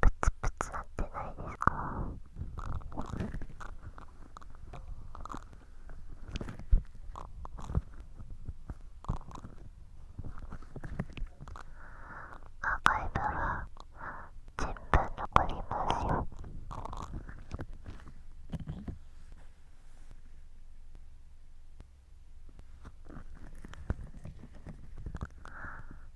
プツプツなってないですかアーカイブは全部残りますよ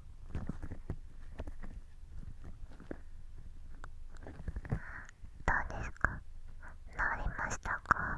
どうですか治りましたかあ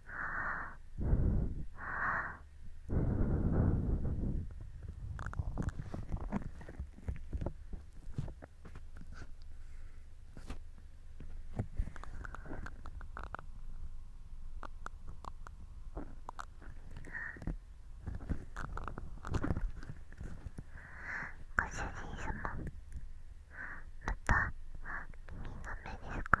ご主人様また君の目ですか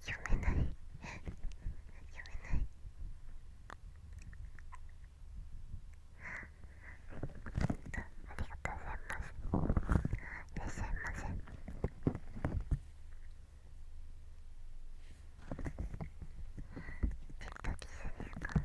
読めない読めないありがとうございますいらっしゃいませジットキスですかあ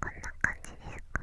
こんな感じですか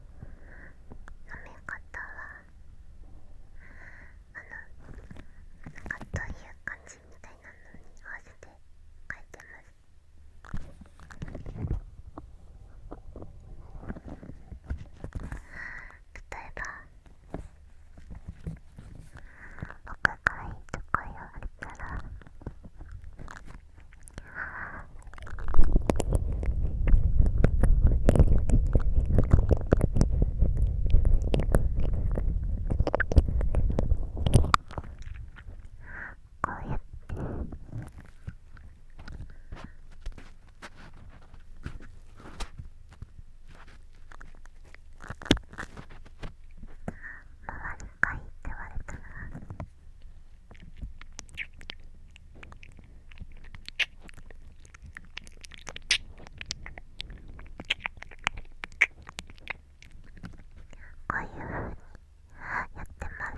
飲め方はあのなんかという感じみたいなのに合わせて書いてます。例えば僕がいいとこ言われたらこうやって回りかいって言われたら。こういうふうにやってます。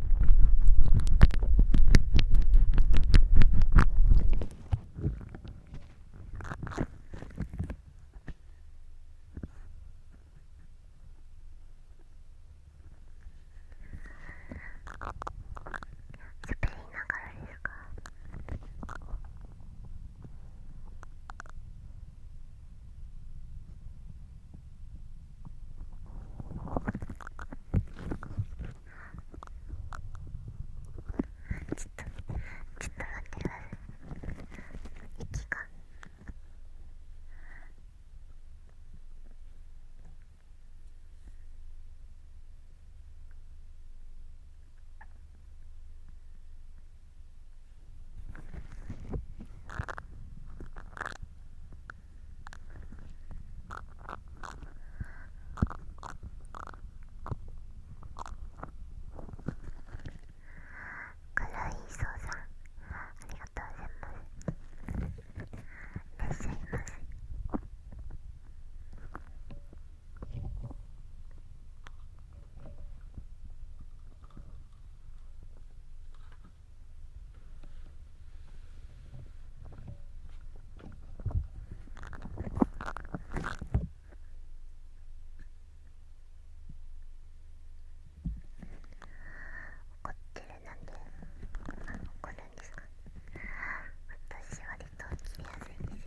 ですかちょっとちょっと待ってください息がいそうさんありがとうございますいらっしゃいませ怒ってるなんて、怒るんですか私割と切りやすいんです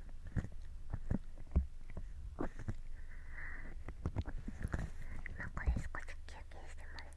今これ少し休憩してます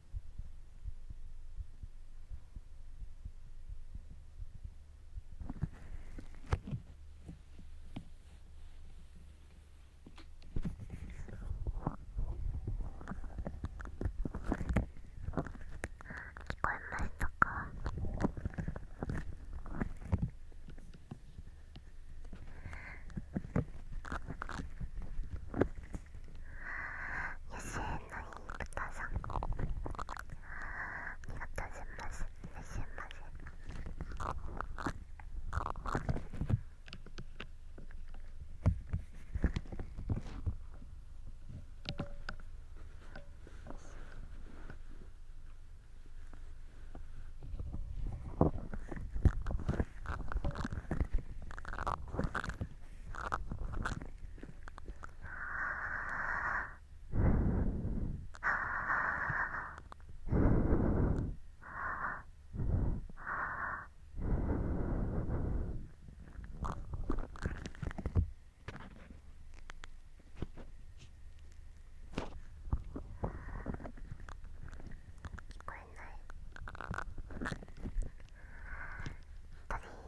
聞こえましたか野生の豚さんありがとうございますいらっしゃいません。こえない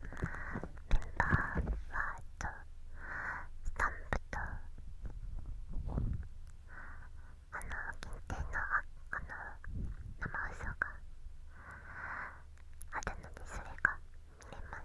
メンバーはとスタンプとあの限定のあの生放送があるのでそれが見れます。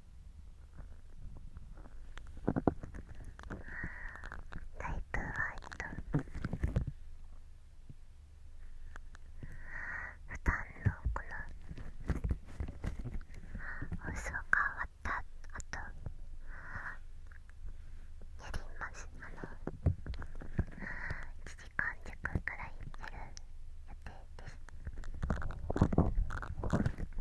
だいぶ割と負担のこの放送が終わった後やりますあの1時間弱くらいやる予定です。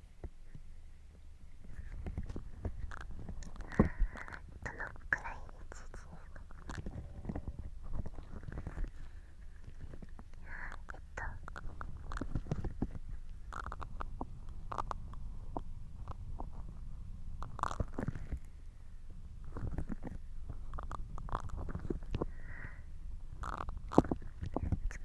どのくらい続くのえっと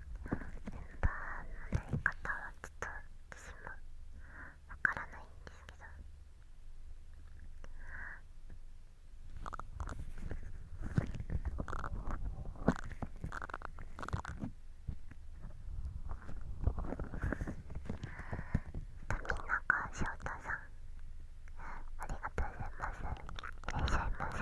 メンバーのやり方はちょっと私もわからないんですけど富永翔太さんありがとうございますいらっしゃいませ。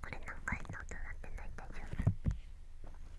これ何回の音なってない大丈夫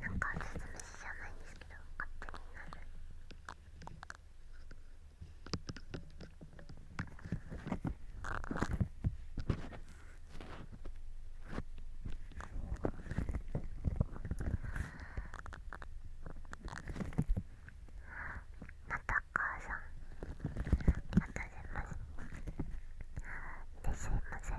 なんか鈴虫じゃないんですけど勝手にまた母さんまた出ますですません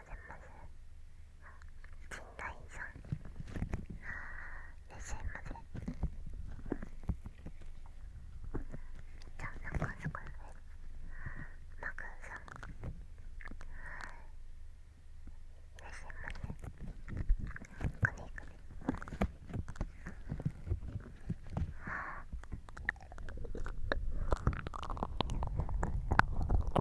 とうございますんいらっしゃいませじゃあなんかすごいマグさんいらっゃいませこねくね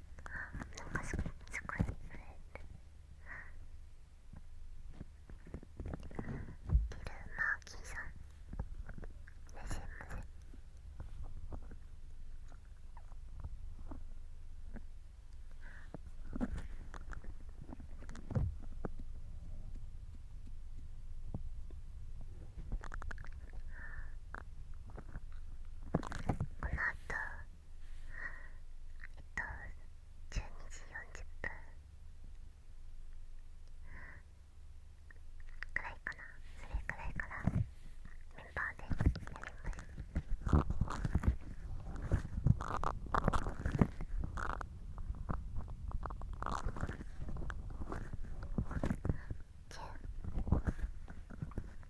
なんかすごいすごい震えるギルマーキさんいらっこのあとえっと12時40分くらいかなそれくらいからメンバーでやります10 9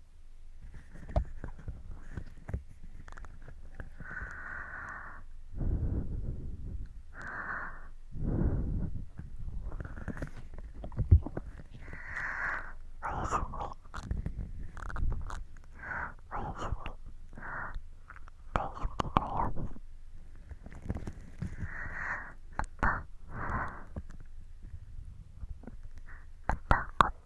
またこっ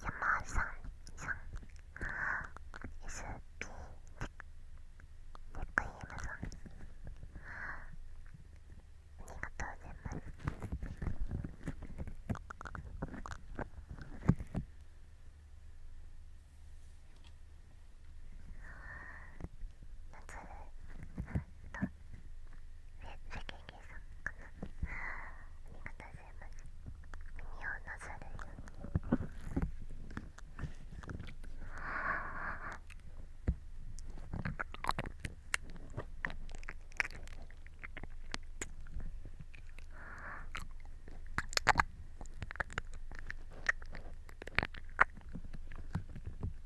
山さんさん SP テクイームさんありがとうございます夏あとえ世間計算かなありがとうございます耳をなさるよあ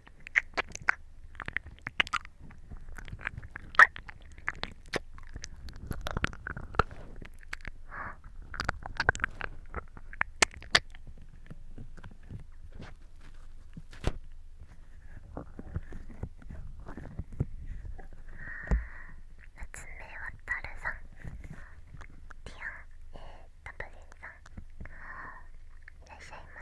夏目渡さんディタプリンさんいらっしゃいませ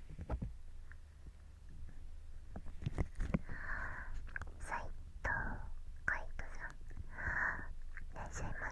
斉藤海人さんいらっしゃいませ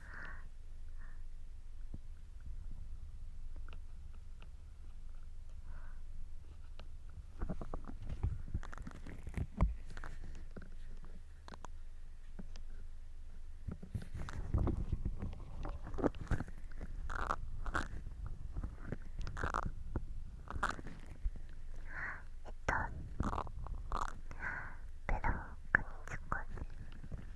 えっとペロをくにつこう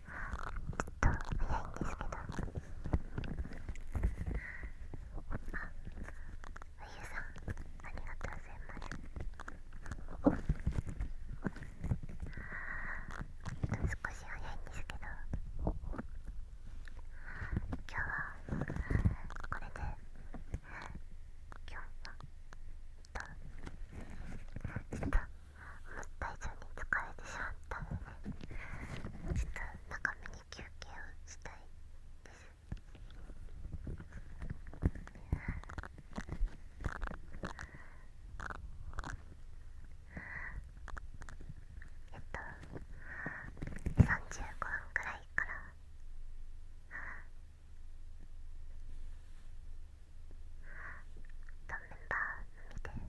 ちょっと早いんですけどあうゆさんありがとうございます少し早いんですけど今日はこれで今日はちょっともった以上に疲れてしまったのでちょっと長めに休憩をしたいえっと35分くらいからとメンバーのみで。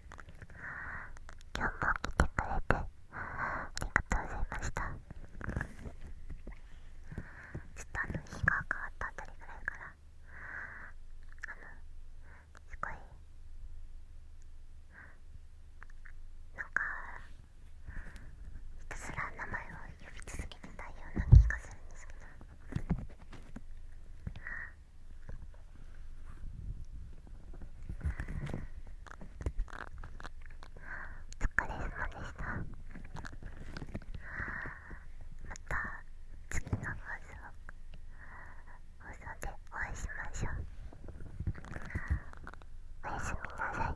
今日も来てくれてありがとうございましたちょっとの日が変わったあたりぐらいからあのすごいなんかひたすら名前を呼び続けてたような気がするんですけど。お疲れ様でしたまた次の放送放送でお会いしましょうおやすみなさい